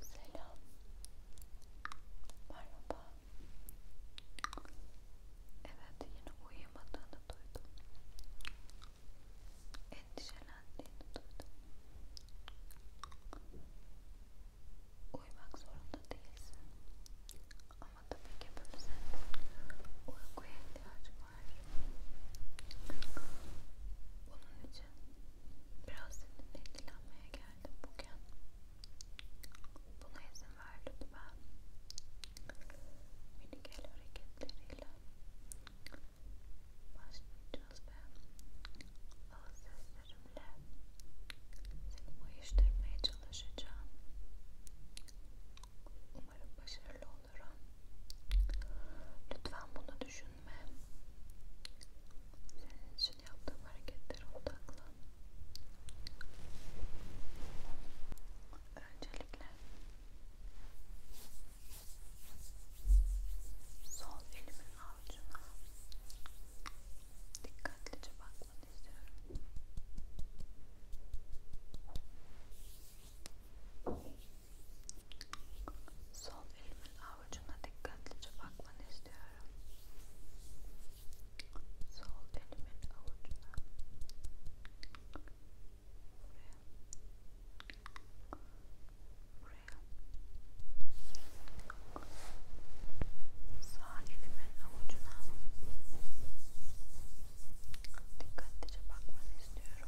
Selam. Merhaba. Evet yine uyuyamadığını duydum. Endişelendiğini duydum. Uyumak zorunda değilsin. Ama tabii ki böyle uykuya ihtiyacım var. Bunun için biraz seninle ilgilenmeye geldim bugün. Buna izin ver lütfen. Minik el hareketleriyle başlayacağız ve ağız seslerimle seni uyuşturmaya çalışacağım. Umarım başarılı olurum. Lütfen bunu düşünme. Senin için yaptığım hareketlere odaklan. Öncelikle sol elimin avucuna dikkatlice bakmanı istiyorum. Sol elimin avucuna dikkatlice bakmanı istiyorum. Sol elimin avucuna. Buraya. Buraya. Sağ elimin avucuna. Dikkatlice bakmanı istiyorum.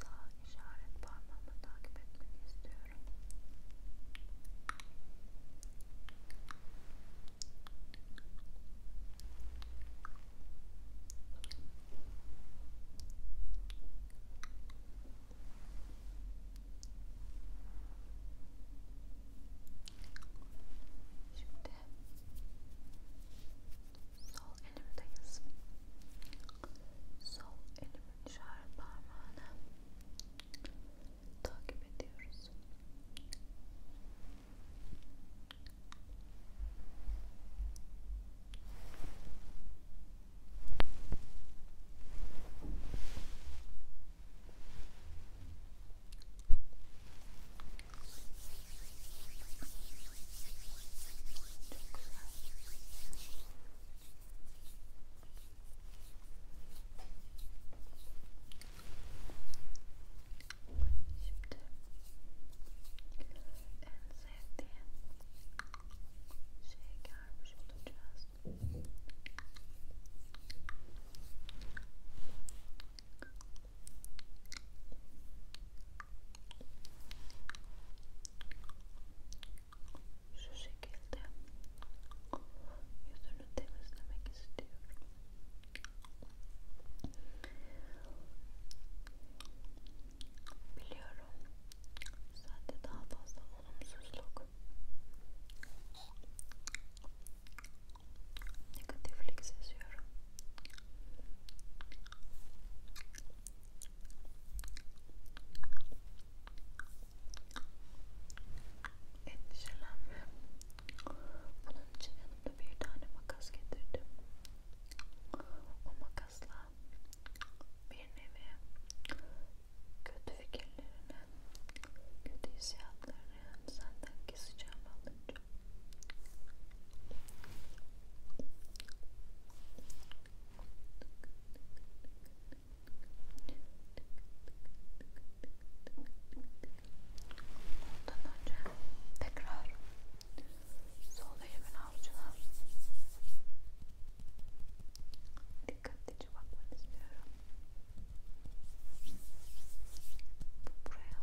sağ işaret parmağımı takip etmeni istiyorum. Şimdi sol elimdeyiz. Sol elimin işaret parmağını takip ediyoruz. Sol çok güzel. Şimdi en sevdiğin şeye gelmiş olacağız. Şimdi şu şekilde yüzünü temizlemek istiyorum. Biliyorum. Sende daha fazla olumsuzluk, negatiflik seziyorum. Endişelenme. Bunun için yanımda bir tane makas getirdim. O makasla bir nevi kötü fikirlerini, kötü hissiyatlarını senden keseceğim alınca. Ondan önce tekrar sol elimin avcuna dikkatlice bakmanı istiyorum. Buraya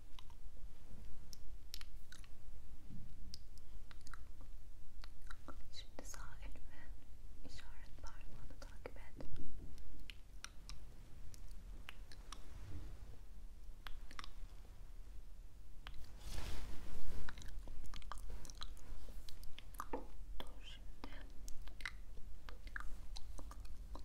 Şimdi sağ elimi işaret parmağını takip et. Dur şimdi. Şimdi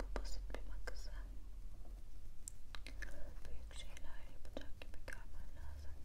bu basit bir makası büyük şeyler yapacak gibi görmen lazım.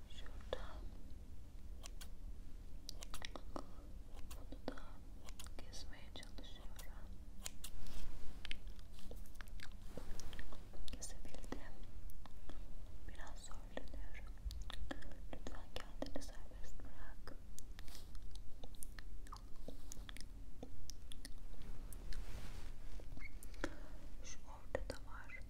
şurada bunu da kesmeye çalışıyorum kesebildim biraz zorlanıyorum lütfen kendini serbest bırak şu ortada var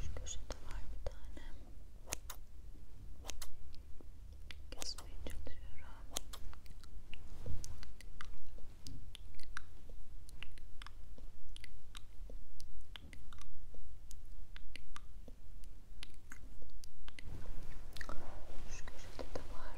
Şu köşede var bir tane. Kesmeye çalışıyorum. Şu köşede de var.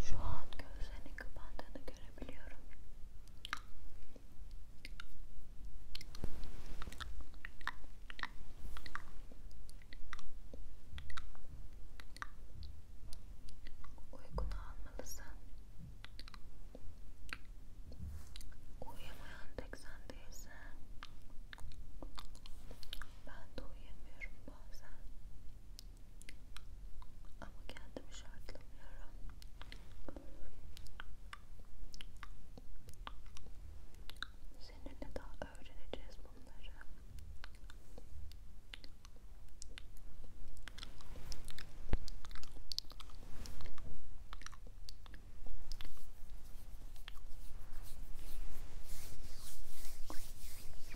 Şu an gözlerini kapandığını görebiliyorum. Uykunu almalısın. Uyuyamayan tek sen değilsin. Ben de uyuyamıyorum bazen. Ama kendimi şartlamıyorum. Seninle daha öğreneceğiz bunları. Çok